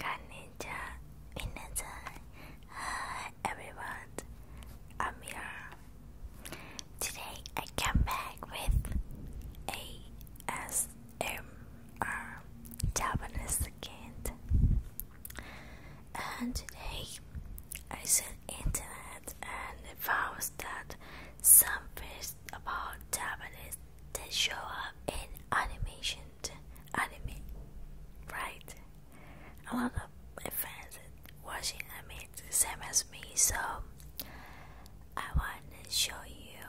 Konnichiwa, minasan. Hi everyone, I'm Mira. Today I come back with ASMR Japanese kid. And today I saw internet and found that some facts about Japanese that show up in animation anime right a lot of fans watching anime the same as me so I want to show you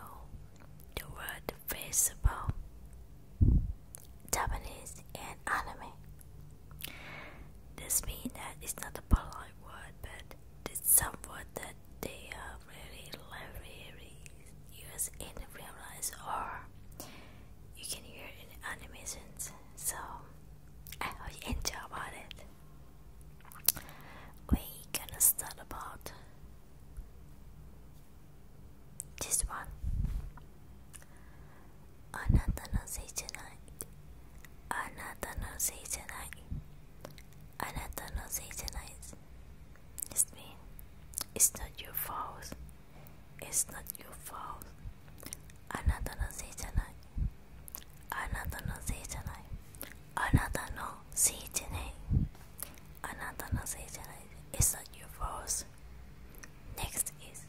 the word face about Japanese and anime. This means that it's not a polite word, but this someone that they are really library use in real life or you can hear in animations. So I hope you enjoy about it. We gonna start about this one. あなたのせいじゃないあなたのせいじゃないあなたのせいじゃない It's me It's not your fault It's not your fault あなたのせいじゃないあなたのせいじゃないあなたのせいじゃないあなたのせいじゃない It's not your fault Next is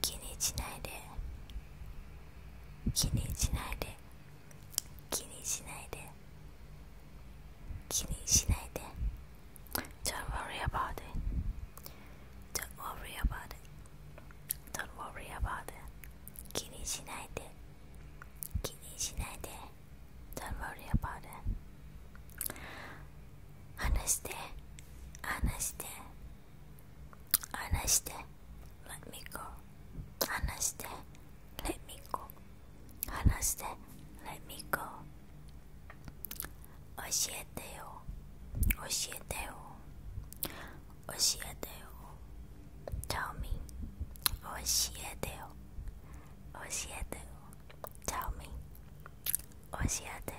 気にしないで気にしないで気にしないで気にしないで Don't worry about it Don't worry about it Don't worry about it 気にしないで気にしないで Don't worry about it 話して話して離して Let me go 離して Let me go 離して Let me go 教えてよ教えてよ教えてよ Tell me 教えてよ教えてよ Tell me 教えてよ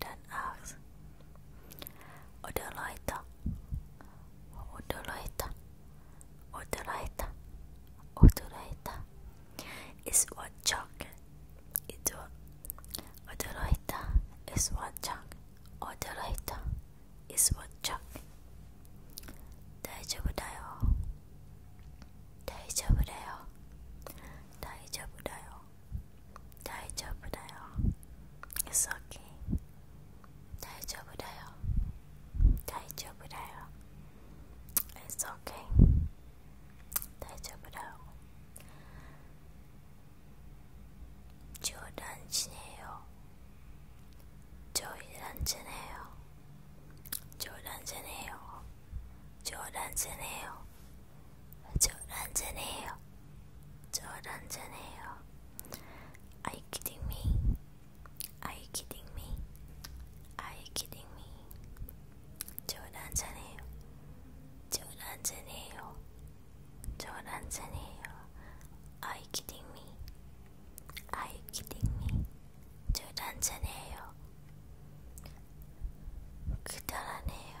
dan Ars. Odolaita, Odolaita, Odolaita, Odolaita. Is what chalk? It's what Odolaita is what chalk. Odolaita is what chalk. Daijoubu dayo. Daijoubu dayo. Daijoubu dayo. 大丈夫だよ It's okay 大丈夫だよ大丈夫だよ It's okay 大丈夫だよ冗談しねえよ冗談じゃねえよ冗談じゃねえよ冗談じゃねえよ 조란전해요. 조란전해요. Are you kidding me? Are you kidding me? Are you kidding me? 조란전해요. 조란전해요. 조란전해요. Are you kidding me? Are you kidding me? 조란전해요. 그다란해요.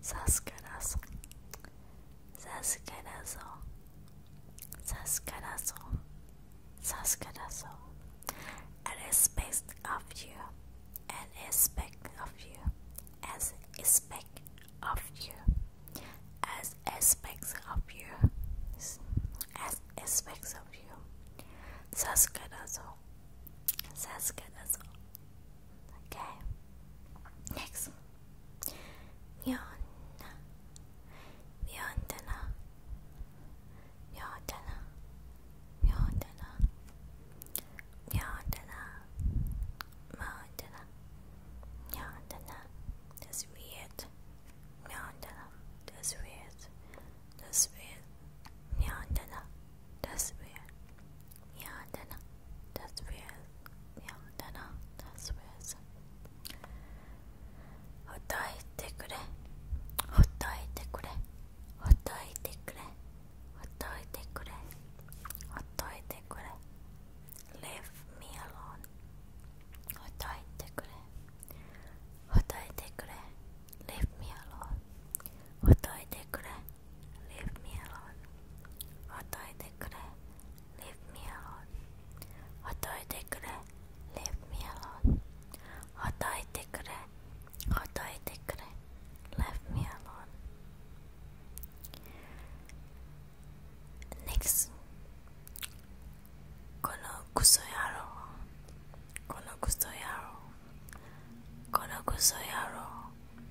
Sascarazo, Sascarazo, Sascarazo, Sascarazo. I respect of you, and respect of you, as respect of you, as aspects of you, as aspects of you. Sascarazo, Sascarazo. Okay. Next. Myonna. Myonna. Myonna. Myonna. Myonna. Myonna. Myonna. That's weird. Myonna. That's weird. That's weird. Myonna. That's weird. Myonna that's weird. Yeah, Nana, that's weird. ほっといてくれほっといてくれほっといてくれほっといてくれほっといてくれ Leave me alone ほっといてくれほっといてくれ Leave me alone ほっといてくれ Leave me alone. Otoite kure. Leave me alone. Otoite kure. Leave me alone. Otoite kure. Otoite kure. Leave me alone. Next. このクソ野郎このクソ野郎このクソ野郎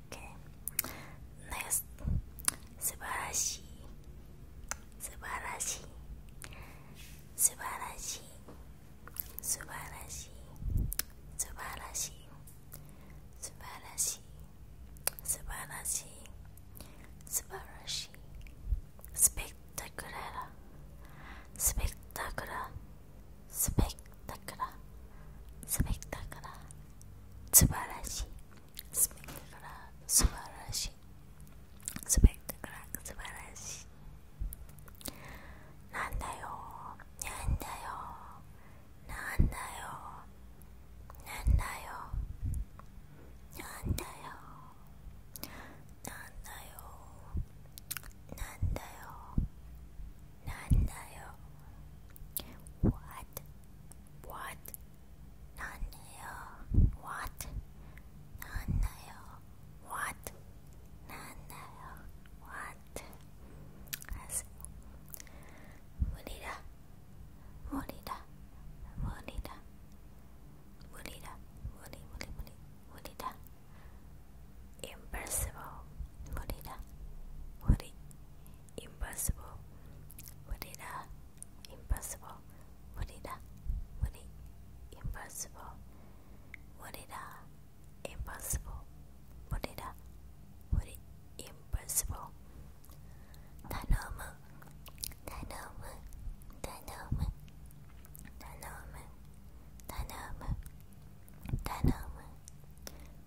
ね、k a y n e 素晴らしい。素晴らしい。素晴らしい。素晴らしい。素晴らしい。素晴らしい。素晴らしい。素晴らしい。スペクタクララ。スペクタクラ。スペクタクラ。スペクタクラ。素晴らしい。スペククラー素晴らしいスペクタクラー素晴らしいなんだよなんだよなんだよなんだよなんだよなんだよなんだよなんだよ What? What? Nanayo, what? Nanayo, what? Nanayo, what? That's Murida, Murida, Murida, Murida, Muri, Muri, Muri, Murida. Impossible, Murida, Muri, impossible, Murida impossible. Murida, muri, impossible. Murida, impossible. Murida, muri, impossible. Tanomu, tanomu, tanomu, tanomu, tanomu, tanomu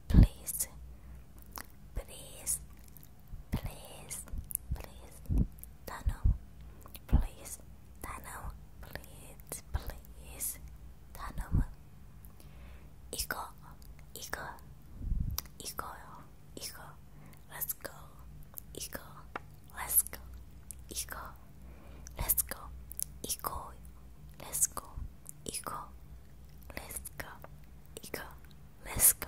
please, please, please, please, Dano, please, Dano, please, please, Dano. Ego, ego, ego, ego, let's go, ego, let's go, ego, let's go, ego, let's go, ego, let's go, ego, let's go.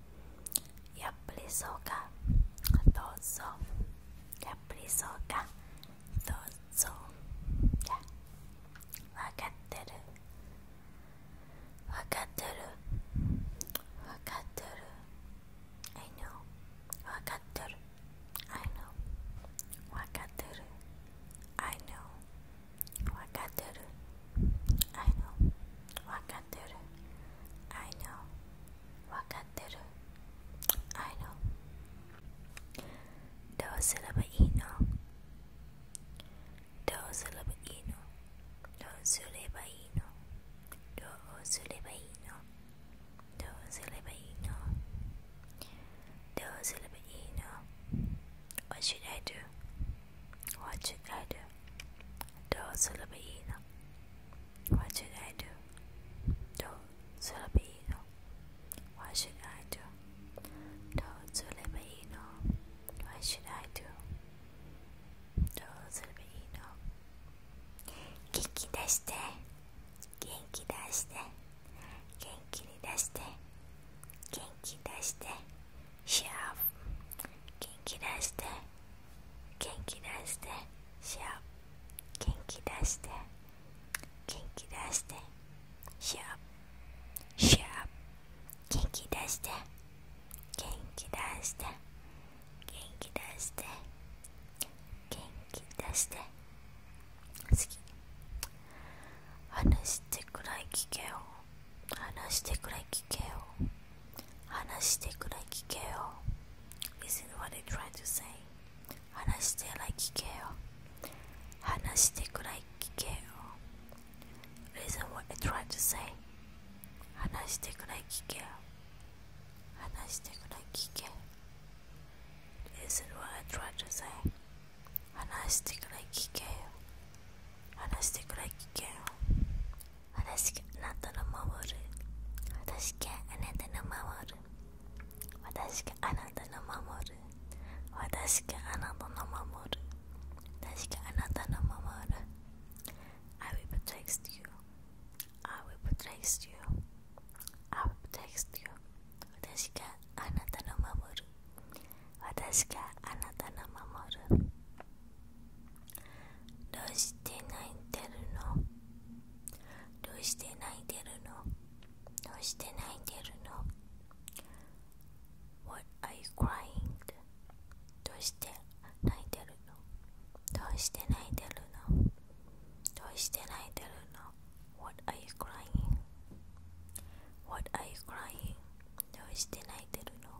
やっぱりそうかどうぞやっぱりそうかどうぞじわかってるわかってるわかってる I know わかってる I know わかってる I know わかってる I know. Wakateru. I know. Wakateru. I know. どうすればいいのどうすればいいのどうすればいいのどうすればいいのどうすればいいのどうすればいいの What should I do? What should I do? Do すればいいの What should I do? どうすればいいの What should I do? どうすればいいの What should I do? どうすればいいの元気出して元気出して元気に出して元気出してシャープ元気出して元気出してシャープ元気出して元気出してシャープシャープ元気出して元気出して元気出して元気出して好き話てくらい聞けよ話してくらい聞けよ話してくらい聞けよ Listen what they try to say 話してくらい聞けよ話してくらい聞けよ Listen what they try to say 話してくらい聞けよ話してくらい聞け Listen what I try to say 話してくらい聞けよ話してくらい聞けよ私があなたの守る私があなたの守る私があなたの守る私があなたの守る私があなたの守る I will protect you I will protect you I will protect you 私があなたの守る私があなたの守るどうして泣いてるのどうして泣いてるのどうして泣いてるの ?What are you crying? どうして泣いてるのどうして泣いてるのどうして泣いてるの ?What are you crying?What are you crying? どうして泣いてるの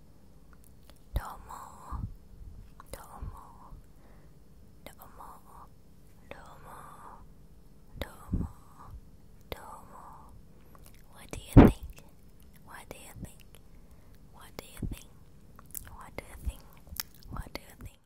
どうもどうもどうもどうもどうもどうも What do you think? What do you think? What do you think? What do you think? What do you think?